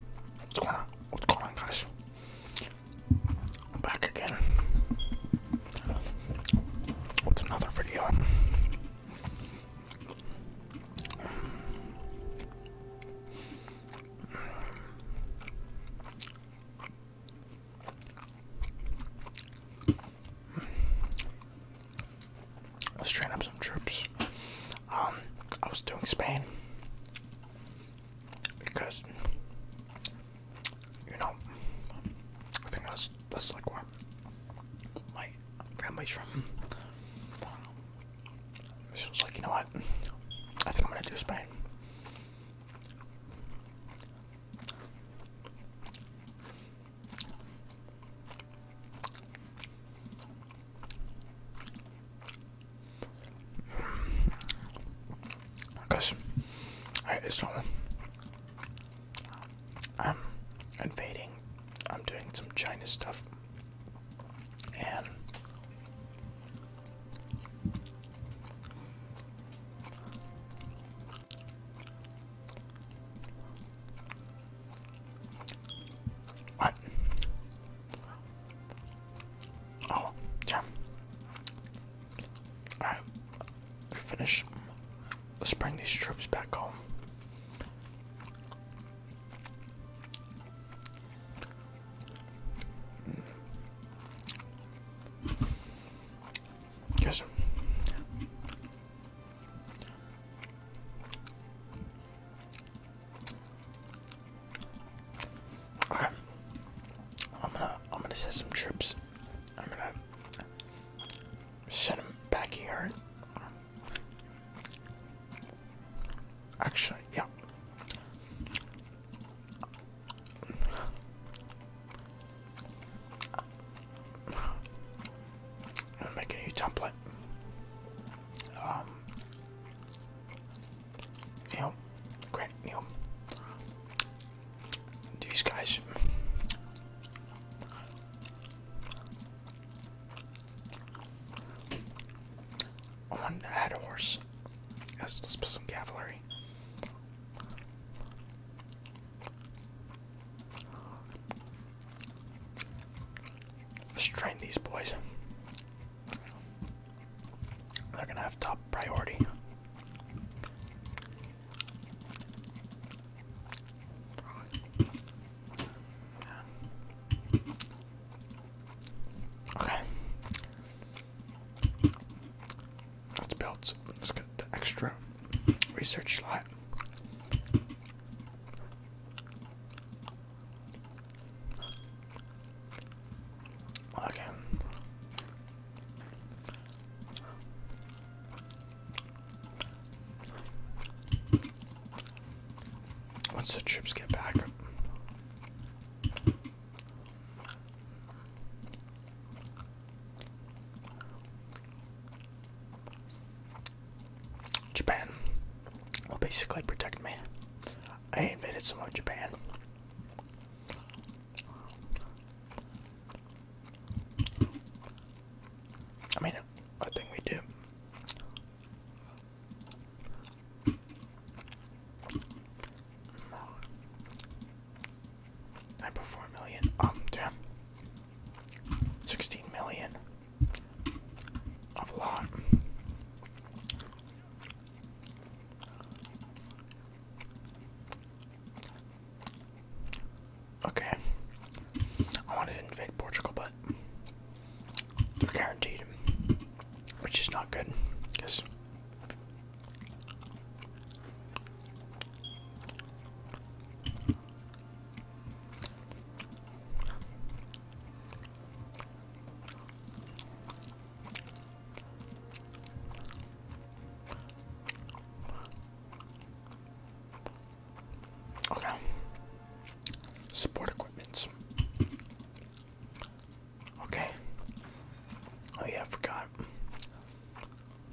What's going on? What's going on, guys? I'm back again with another video. Let's train up some troops. Um, I was doing Spain because you know I think that's that's like where my family's from. So it's like you know what I think I'm gonna do Spain. Because I I'm invading. I'm doing some China stuff, and what? Oh, yeah. Alright, finish. Let's bring these troops back home. Yes. I'm gonna I'm gonna set some troops. I'm gonna send them back here. Actually, yeah. I'm going a new template. Um, you great, you these guys. I wanted to add a horse. let's put some cavalry. Let's train these boys. They're gonna have top priority. Okay. Let's build. Let's get the extra research slot. Okay. Once the chips get back. Japan will basically protect me. I invaded some of Japan. I mean, I think we do. Nine point four million. Um, damn. Sixteen million. a lot. Okay. I wanted to invade Portugal, but they're guaranteed, which is not good. Because Okay. Support equipments. Okay. Oh yeah, I forgot.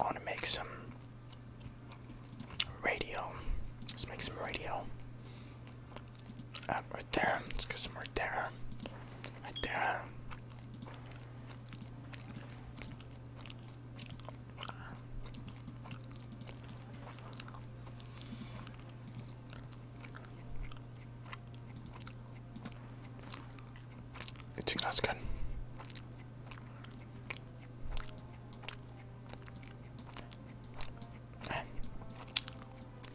I wanna make some radio. Let's make some radio right there. Let's get some right there. Right there. You good?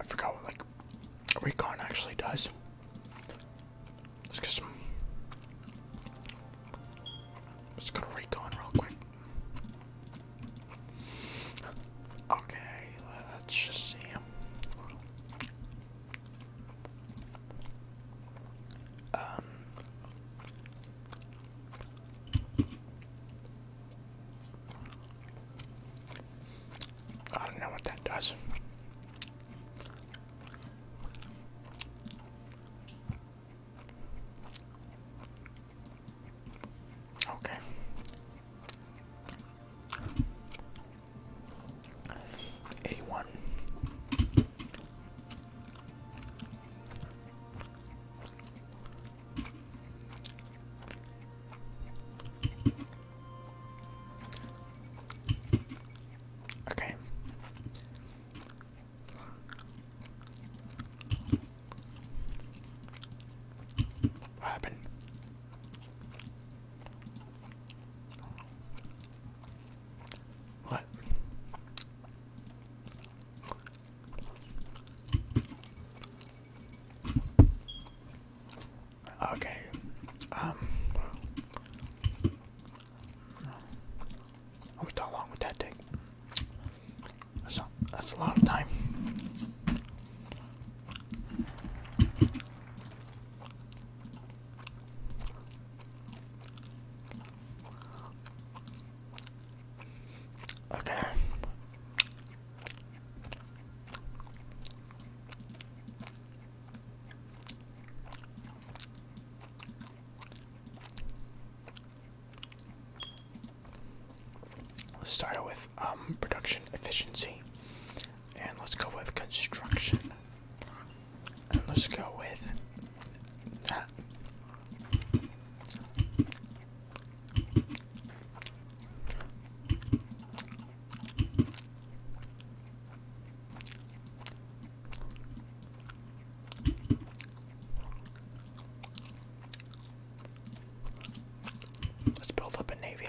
I forgot what like recon actually does. Let's get some Let's go to recon real quick. Okay, let's just see. Um I don't know what that does. Okay. 81. Okay. What happened? What? Okay. Um how long would that take? That's that's a lot of time. Okay. Let's start with um, production efficiency. And let's go with construction. And let's go with that. Let's build up a navy.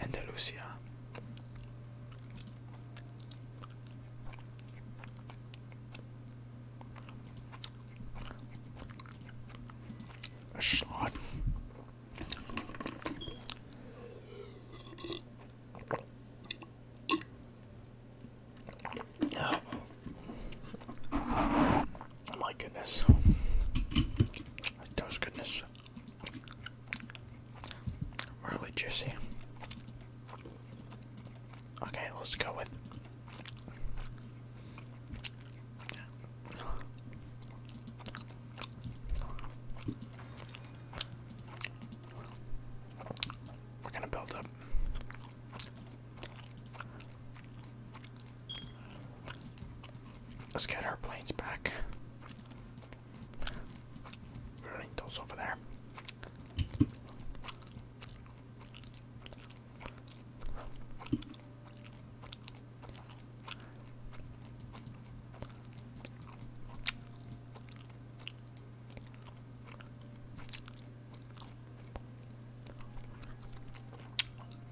Andalusia. A shot. Oh. my goodness. That was goodness. Really juicy. Okay, let's go with. We're gonna build up. Let's get our planes back. those over there.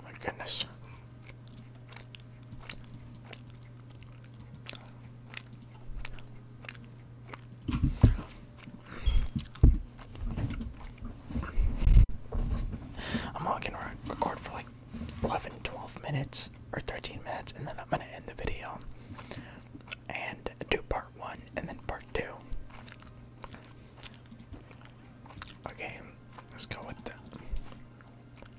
My goodness. I'm gonna record for like 11, minutes or 13 minutes, and then I'm gonna end the video and do part one and then part two. Okay, let's go with the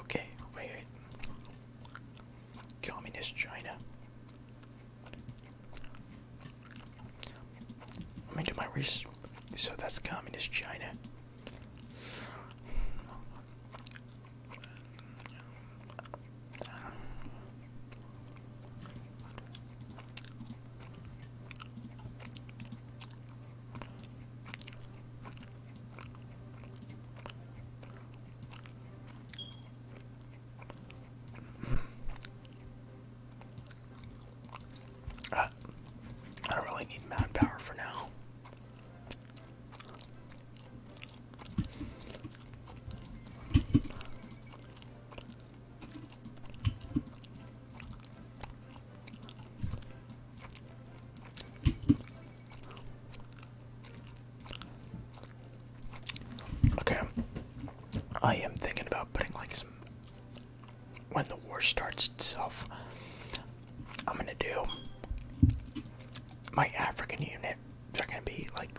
Okay, wait, Communist China. Let me do my research. So that's Communist China. I don't really need manpower for now. Okay, I am thinking about putting like some. When the war starts itself, I'm gonna do my African unit. They're gonna be like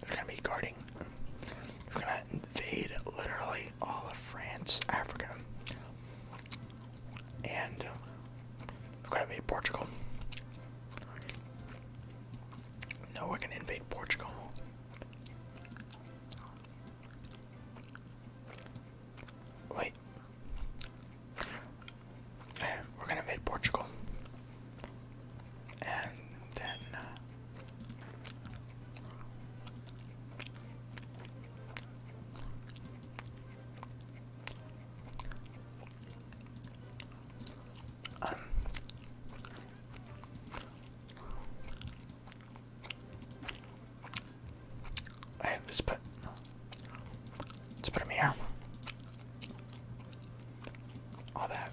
they're gonna be guarding. They're gonna invade literally all of France, Africa, and uh, they're gonna invade Portugal. No, we're gonna invade Portugal. Wait. We're gonna invade Portugal and then uh, um, put let's put him here all that.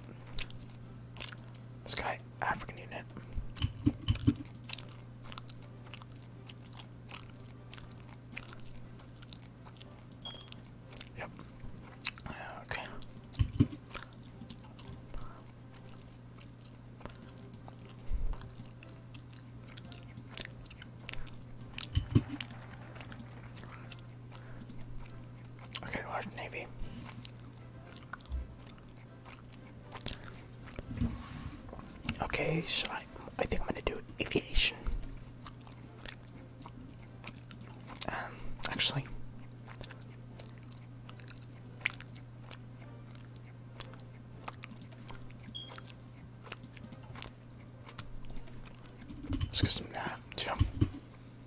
This guy, African unit. Yep. Okay. Okay, large navy. Okay, should I? I think I'm gonna do aviation. Um, actually, let's get some that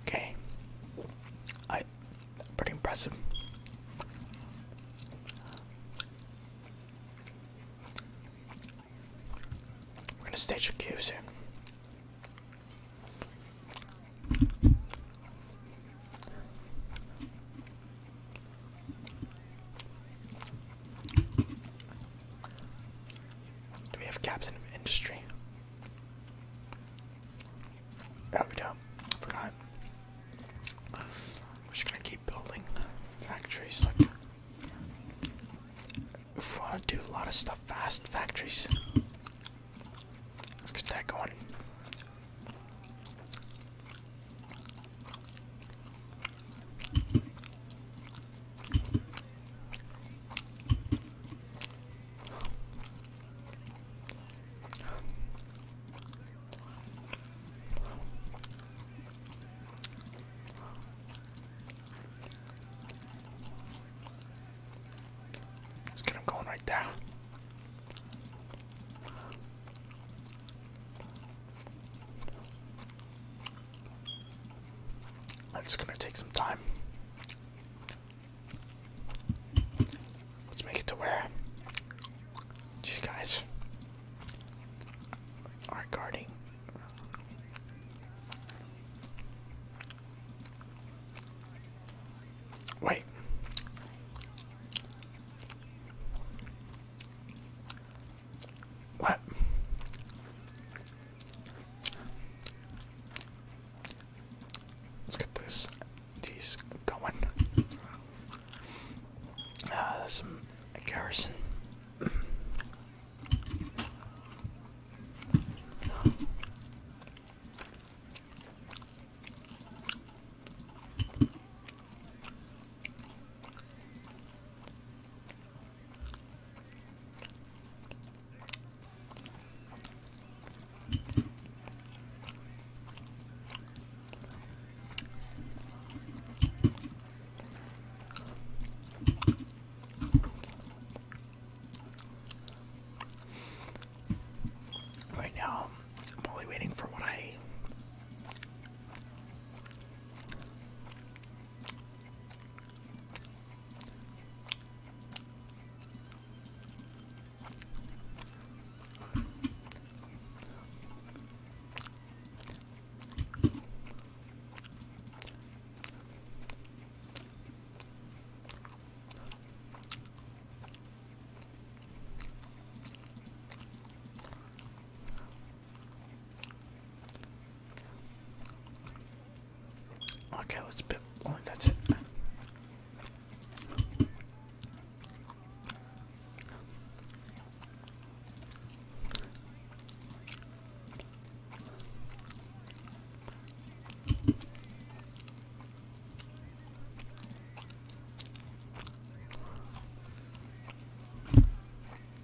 Okay. I pretty impressive. We're gonna stage a cube soon. Do we have captain industry? That we do. Forgot. We're just gonna keep building factories. Like, we want to do a lot of stuff fast, factories. Let's get that going. Let's get him going right there. That's gonna take some time. Let's make it to where these guys are guarding. Wait. What? Let's get this these going. Uh, some garrison. Right now, I'm only waiting for what I Okay, let's bit. that's it.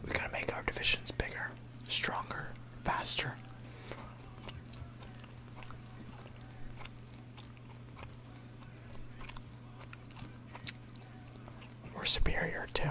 We gotta make our divisions bigger, stronger, faster. We're superior too.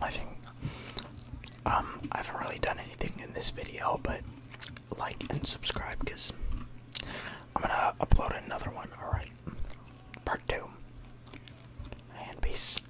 I think um, I haven't really done anything in this video but like and subscribe because I'm gonna upload another one, alright. Part two. And peace.